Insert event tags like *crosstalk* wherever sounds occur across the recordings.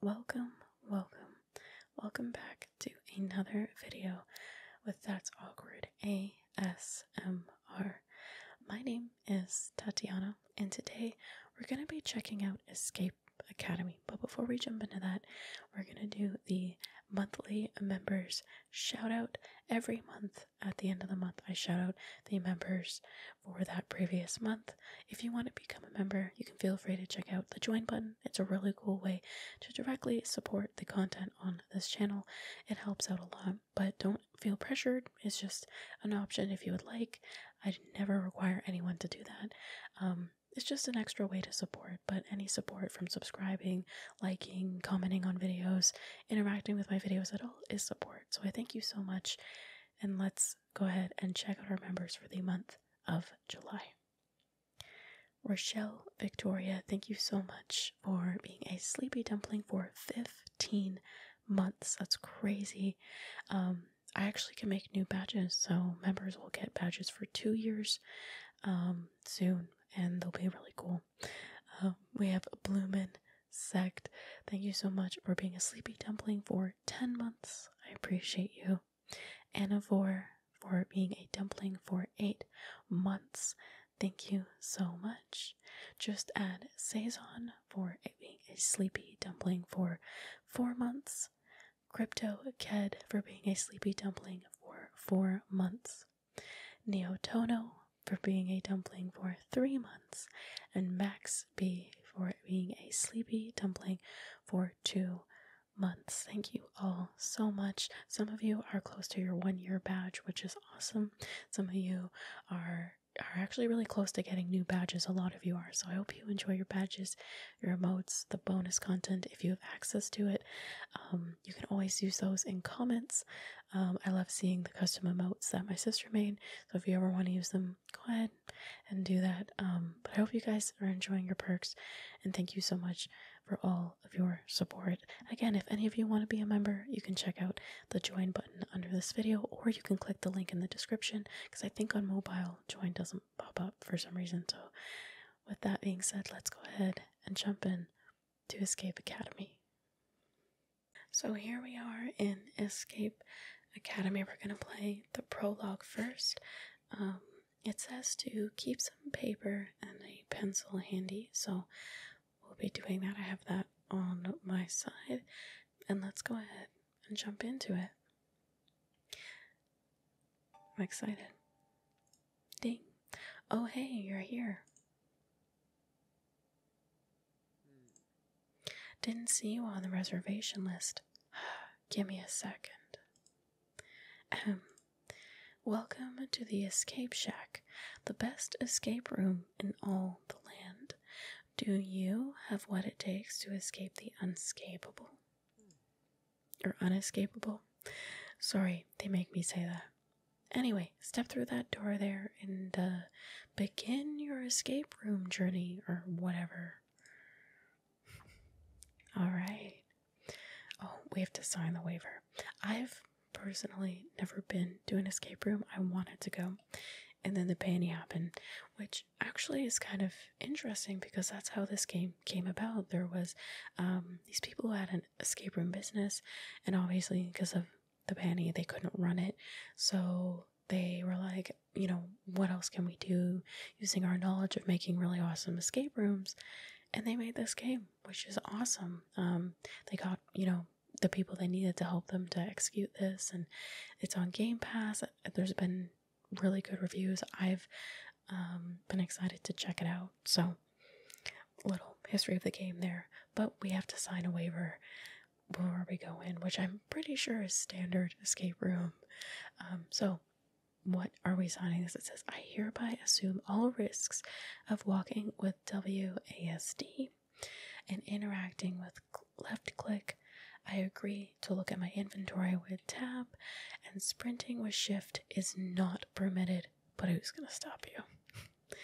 Welcome, welcome, welcome back to another video with That's Awkward ASMR. My name is Tatiana, and today we're going to be checking out Escape Academy. But before we jump into that, we're going to do the monthly members shout out every month. At the end of the month, I shout out the members for that previous month. If you want to become a member, you can feel free to check out the join button. It's a really cool way to directly support the content on this channel. It helps out a lot, but don't feel pressured. It's just an option if you would like. I never require anyone to do that. Um, it's just an extra way to support, but any support from subscribing, liking, commenting on videos, interacting with my videos at all is support. So I thank you so much, and let's go ahead and check out our members for the month of July. Rochelle Victoria, thank you so much for being a sleepy dumpling for 15 months. That's crazy. Um, I actually can make new badges, so members will get badges for two years um, soon, and they'll be really cool. Um, we have Bloomin' Sect. Thank you so much for being a sleepy dumpling for 10 months. I appreciate you. Anivore for being a dumpling for eight months. Thank you so much. Just add Saison for being a sleepy dumpling for four months. Crypto Ked for being a sleepy dumpling for four months. Neo Tono for being a dumpling for three months and Max B for being a sleepy dumpling for two months. Thank you all so much. Some of you are close to your one year badge, which is awesome. Some of you are are actually really close to getting new badges. A lot of you are. So I hope you enjoy your badges, your emotes, the bonus content if you have access to it. Um, you can always use those in comments. Um, I love seeing the custom emotes that my sister made. So if you ever want to use them, go ahead and do that. Um, but I hope you guys are enjoying your perks, and thank you so much for all of your support. Again, if any of you want to be a member, you can check out the join button under this video, or you can click the link in the description because I think on mobile join doesn't pop up for some reason. So, with that being said, let's go ahead and jump in to Escape Academy. So here we are in Escape Academy. We're going to play the prologue first. Um, it says to keep some paper and a pencil handy, so we'll be doing that. I have that on my side. And let's go ahead and jump into it. I'm excited. Ding. Oh, hey, you're here. Didn't see you on the reservation list. *sighs* Give me a second. Ahem. Welcome to the Escape Shack, the best escape room in all the land. Do you have what it takes to escape the unescapable? Or unescapable? Sorry, they make me say that. Anyway, step through that door there and uh, begin your escape room journey or whatever. All right. Oh, we have to sign the waiver. I've personally never been to an escape room. I wanted to go. And then the panty happened, which actually is kind of interesting because that's how this game came about. There was um, these people who had an escape room business, and obviously because of the panty. They couldn't run it. So they were like, you know, what else can we do using our knowledge of making really awesome escape rooms? And they made this game, which is awesome. Um, they got, you know, the people they needed to help them to execute this, and it's on Game Pass. There's been really good reviews. I've um, been excited to check it out. So, little history of the game there. But we have to sign a waiver before we go in, which I'm pretty sure is standard escape room. Um, so, what are we signing this? It says, I hereby assume all risks of walking with WASD and interacting with left click. I agree to look at my inventory with tab, and sprinting with shift is not permitted. But who's going to stop you? *laughs*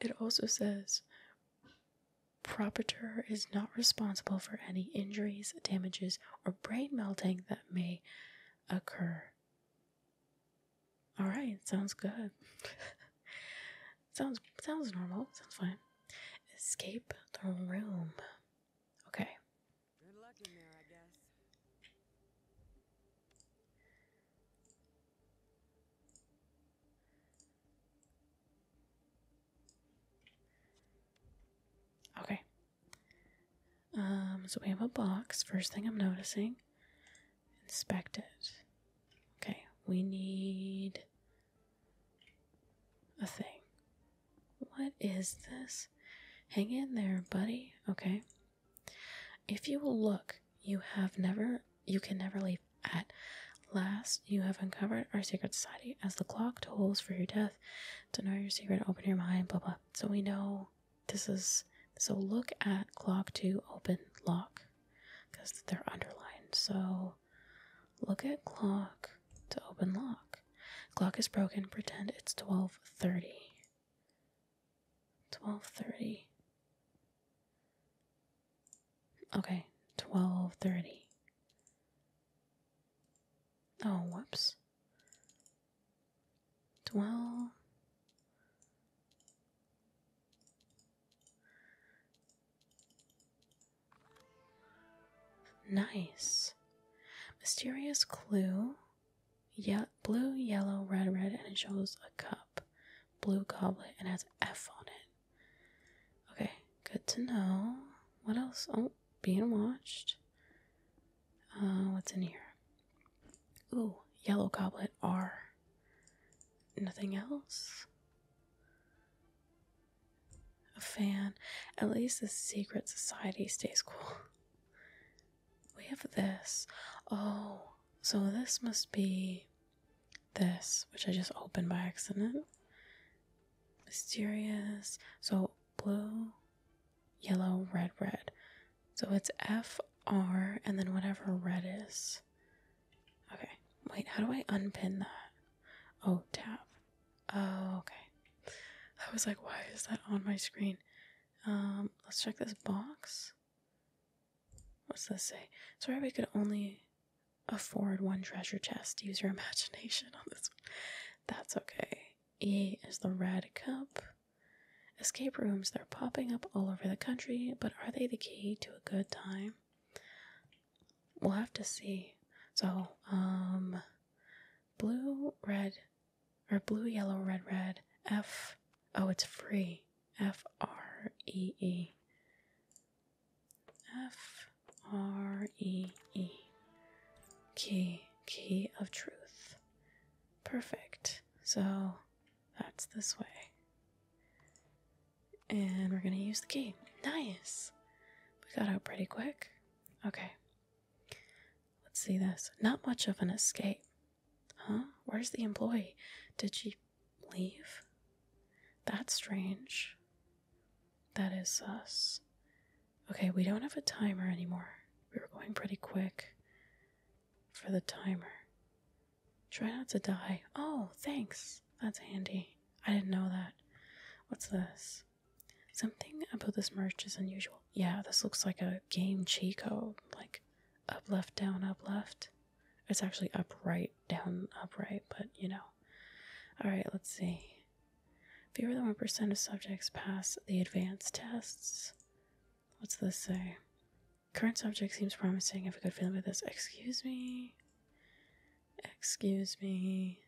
It also says, proprietor is not responsible for any injuries, damages, or brain melting that may occur. All right, sounds good. *laughs* sounds sounds normal. Sounds fine. Escape the room. Okay. Okay. Um, so we have a box. First thing I'm noticing. Inspect it. Okay, we need a thing. What is this? Hang in there, buddy. Okay. If you look, you have never you can never leave. At last, you have uncovered our secret society. As the clock tolls for your death, to know your secret, open your mind. Blah blah. So we know this is. So look at clock to open lock, because they're underlined. So look at clock to open lock. Clock is broken. Pretend it's twelve thirty. Twelve thirty. Okay, 12:30. Oh, whoops. 12 Nice. Mysterious clue. Yeah, blue, yellow, red, red, and it shows a cup, blue goblet, and has F on it. Okay, good to know. What else? Oh, being watched. Uh, what's in here? Ooh, yellow goblet R. Nothing else? A fan. At least the secret society stays cool. *laughs* We have this. Oh, so this must be this, which I just opened by accident. Mysterious. So blue, yellow, red, red. So it's F R and then whatever red is. Okay. Wait, how do I unpin that? Oh, tap. Oh, okay. I was like, why is that on my screen? Um, let's check this box. What's this say? Sorry, we could only afford one treasure chest. Use your imagination on this one. That's okay. E is the red cup. Escape rooms, they're popping up all over the country, but are they the key to a good time? We'll have to see. So, um, blue, red, or blue, yellow, red, red, F. Oh, it's free. F R E E. F R E E. Key. Key of truth. Perfect. So that's this way. And we're going to use the key. Nice. We got out pretty quick. Okay. Let's see this. Not much of an escape. Huh? Where's the employee? Did she leave? That's strange. That is us. Okay, we don't have a timer anymore. We were going pretty quick for the timer. Try not to die. Oh, thanks. That's handy. I didn't know that. What's this? Something about this merch is unusual. Yeah, this looks like a game Chico, like up, left, down, up, left. It's actually upright, down, upright, but you know. Alright, let's see. Fewer than 1% of subjects pass the advanced tests. What's this say? Current subject seems promising. Have a good feeling with this. Excuse me. Excuse me.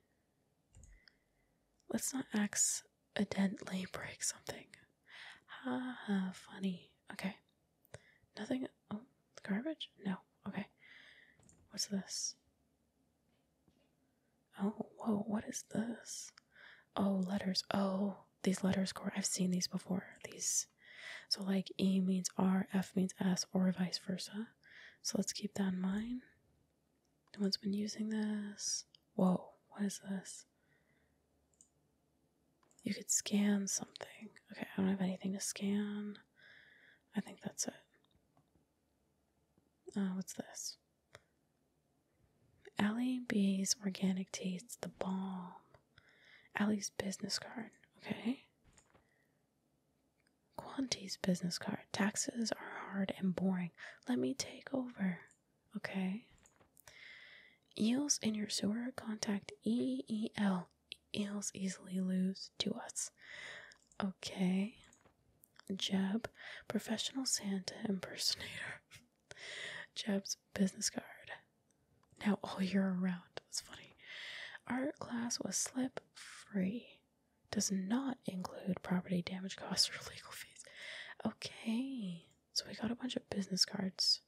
Let's not accidentally break something. Ha ha, funny. Okay. Nothing. Oh, garbage? No. Okay. What's this? Oh, whoa, what is this? Oh, letters. Oh, these letters core. I've seen these before. These. So, like, E means R, F means S, or vice versa. So, let's keep that in mind. No one's been using this. Whoa, what is this? You could scan something. Okay, I don't have anything to scan. I think that's it. Oh, what's this? Allie B's organic tea. the bomb. Ali's business card. Okay. Quanti's business card. Taxes are hard and boring. Let me take over. Okay. Eels in your sewer contact EEL. Eels easily lose to us. Okay. Jeb, professional Santa impersonator. *laughs* Jeb's business card. Now all year around. That's funny. Art class was slip free. Does not include property damage costs or legal fees. Okay. So we got a bunch of business cards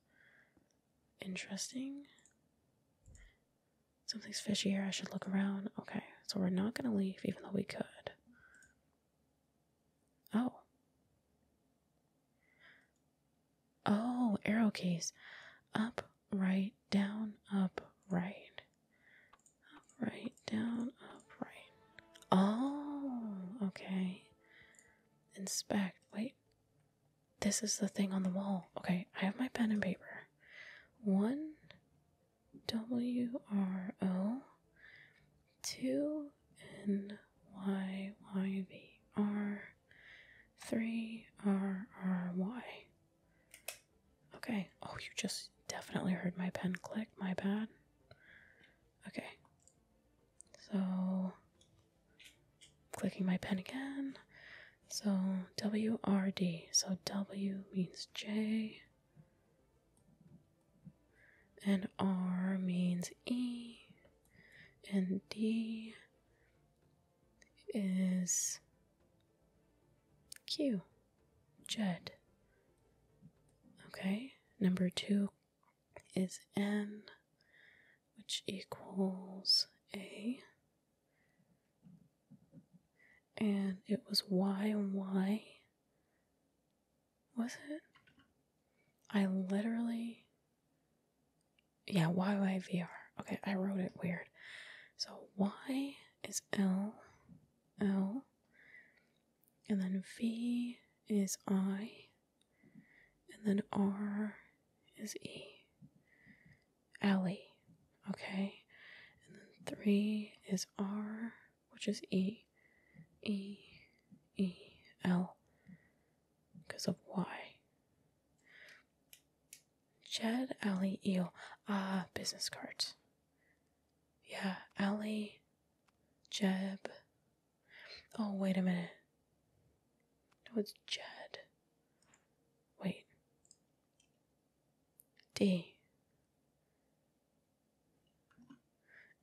interesting. Something's fishy here. I should look around. Okay, so we're not gonna leave, even though we could. Oh. Oh, arrow case. Up, right, down, up, right. Up, right, down, up, right. Oh, okay. Inspect. Wait. This is the thing on the wall. Okay, I have my pen and paper. 1 W R O 2 N Y Y V R 3 R R Y. Okay. Oh, you just definitely heard my pen click. My bad. Okay. So I'm clicking my pen again. So WRD. So W means J. And R means E. And D is Q. Jed. Okay. Number two is n, which equals a, and it was y on y. Was it? I literally. Yeah, YYVR. Okay, I wrote it weird. So Y is L, L, and then V is I, and then R is E. Alley. Okay. And then three is R, which is E. E. E. L. Because of Y. Jed Alley Eel. Ah, uh, business cards. Yeah, Alley, Jeb, Oh, wait a minute. No, it's Jed. Wait. D.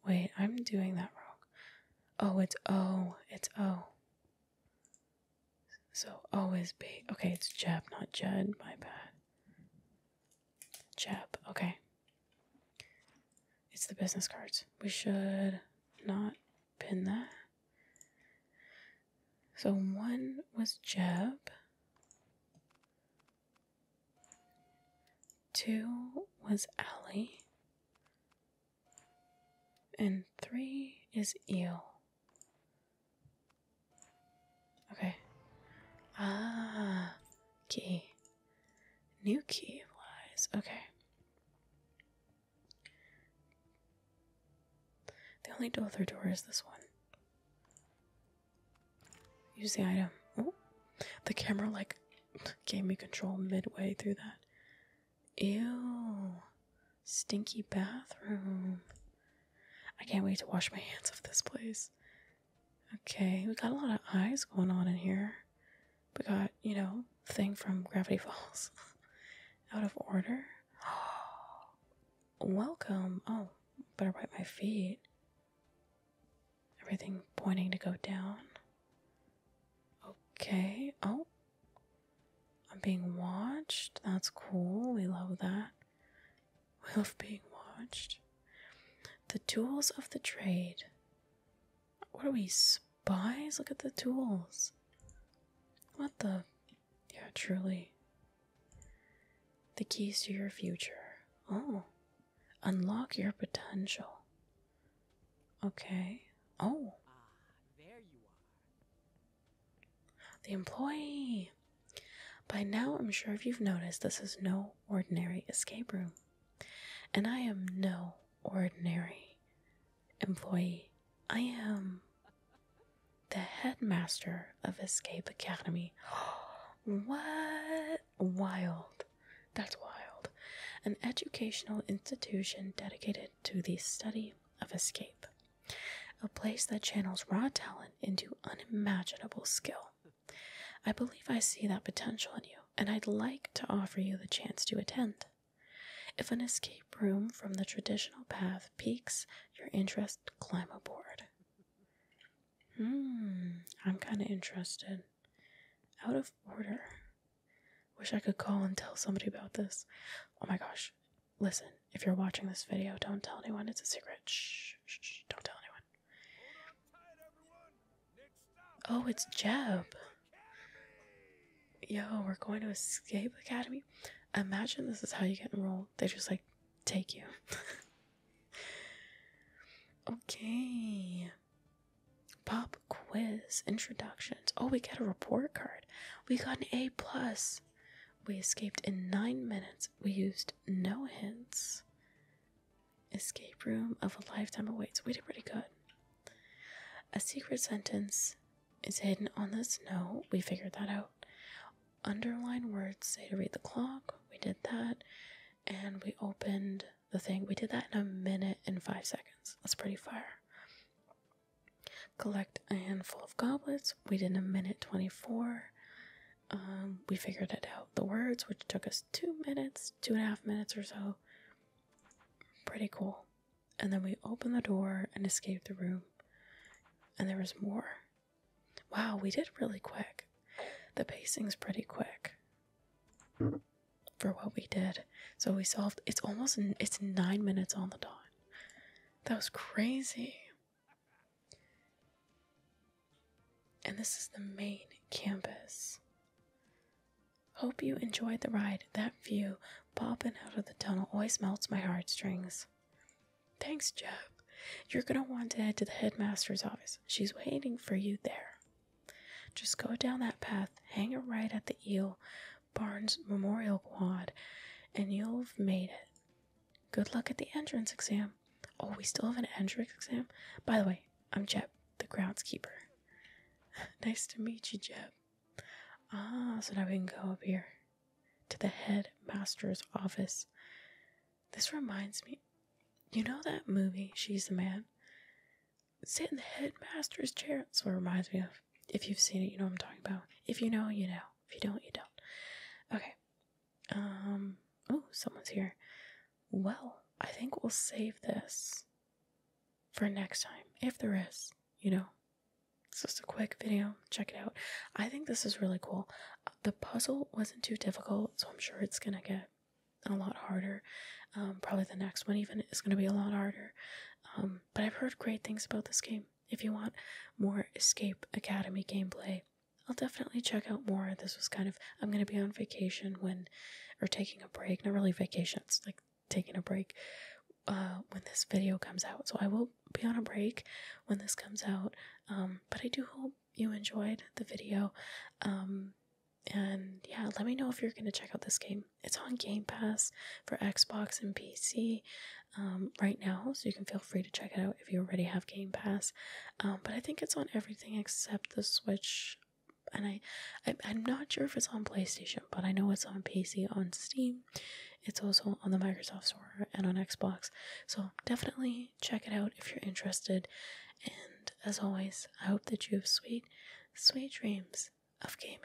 Wait, I'm doing that wrong. Oh, it's O. It's O. So O is B. Okay, it's Jeb, not Jed. My bad. Jeb. Okay. It's the business cards. We should not pin that. So one was Jeb. Two was Ally, And three is Eel. Okay. Ah, key. New key lies. Okay. The only other door is this one. Use the item. Oh, the camera like gave me control midway through that. Ew, stinky bathroom. I can't wait to wash my hands of this place. Okay, we got a lot of eyes going on in here. We got, you know, thing from Gravity Falls *laughs* out of order. *gasps* Welcome. Oh, better wipe my feet. Everything pointing to go down. Okay. Oh, I'm being watched. That's cool. We love that. *laughs* We love being watched. The tools of the trade. What are we, spies? Look at the tools. What the? Yeah, truly. The keys to your future. Oh. Unlock your potential. Okay. Oh. there you are. The employee. By now, I'm sure if you've noticed, this is no ordinary escape room. And I am no ordinary employee. I am the headmaster of Escape Academy. *gasps* what? Wild. That's wild. An educational institution dedicated to the study of escape. A place that channels raw talent into unimaginable skill. I believe I see that potential in you, and I'd like to offer you the chance to attend. If an escape room from the traditional path piques your interest, climb aboard. Hmm, I'm kind of interested. Out of order. Wish I could call and tell somebody about this. Oh my gosh. Listen, if you're watching this video, don't tell anyone. It's a secret. Shh, shh, shh don't tell anyone. Oh, it's Jeb. Yo, we're going to Escape Academy. Imagine this is how you get enrolled. They just like take you. *laughs* okay. Pop quiz introductions. Oh, we get a report card. We got an A plus. We escaped in nine minutes. We used no hints. Escape room of a lifetime awaits. We did pretty good. A secret sentence is hidden on the snow. We figured that out. Underline words say to read the clock. We did that. And we opened the thing. We did that in a minute and five seconds. That's pretty fire. Collect a handful of goblets. We did in a minute 24. Um, we figured it out the words, which took us two minutes, two and a half minutes or so. Pretty cool. And then we opened the door and escaped the room. And there was more. Wow, we did really quick. The pacing's pretty quick for what we did. So we solved it's almost it's 9 minutes on the dot. That was crazy. And this is the main campus. Hope you enjoyed the ride. That view popping out of the tunnel always melts my heartstrings. Thanks, Jeb. You're going to want to head to the headmaster's office. She's waiting for you there. Just go down that path, hang a right at the Eel Barnes Memorial Quad, and you'll have made it. Good luck at the entrance exam. Oh, we still have an entrance exam? By the way, I'm Jeb, the groundskeeper. *laughs* nice to meet you, Jeb. Ah, so now we can go up here to the headmaster's office. This reminds me. You know that movie, She's the Man? Sitting in the headmaster's chair. That's what it reminds me of. If you've seen it, you know what I'm talking about. If you know, you know. If you don't, you don't. Okay. Um, oh, someone's here. Well, I think we'll save this for next time, if there is, you know. It's just a quick video. Check it out. I think this is really cool. The puzzle wasn't too difficult, so I'm sure it's gonna get a lot harder. Um, probably the next one even is gonna be a lot harder. Um, but I've heard great things about this game. If you want more Escape Academy gameplay, I'll definitely check out more. This was kind of I'm gonna be on vacation when, or taking a break. Not really vacation. It's like taking a break. Uh, when this video comes out, so I will be on a break when this comes out. Um, but I do hope you enjoyed the video. Um, and yeah, let me know if you're gonna check out this game. It's on Game Pass for Xbox and PC um, right now, so you can feel free to check it out if you already have Game Pass. Um, but I think it's on everything except the Switch. And I, I'm not sure if it's on PlayStation, but I know it's on PC, on Steam. It's also on the Microsoft Store and on Xbox. So definitely check it out if you're interested. And as always, I hope that you have sweet, sweet dreams of gaming.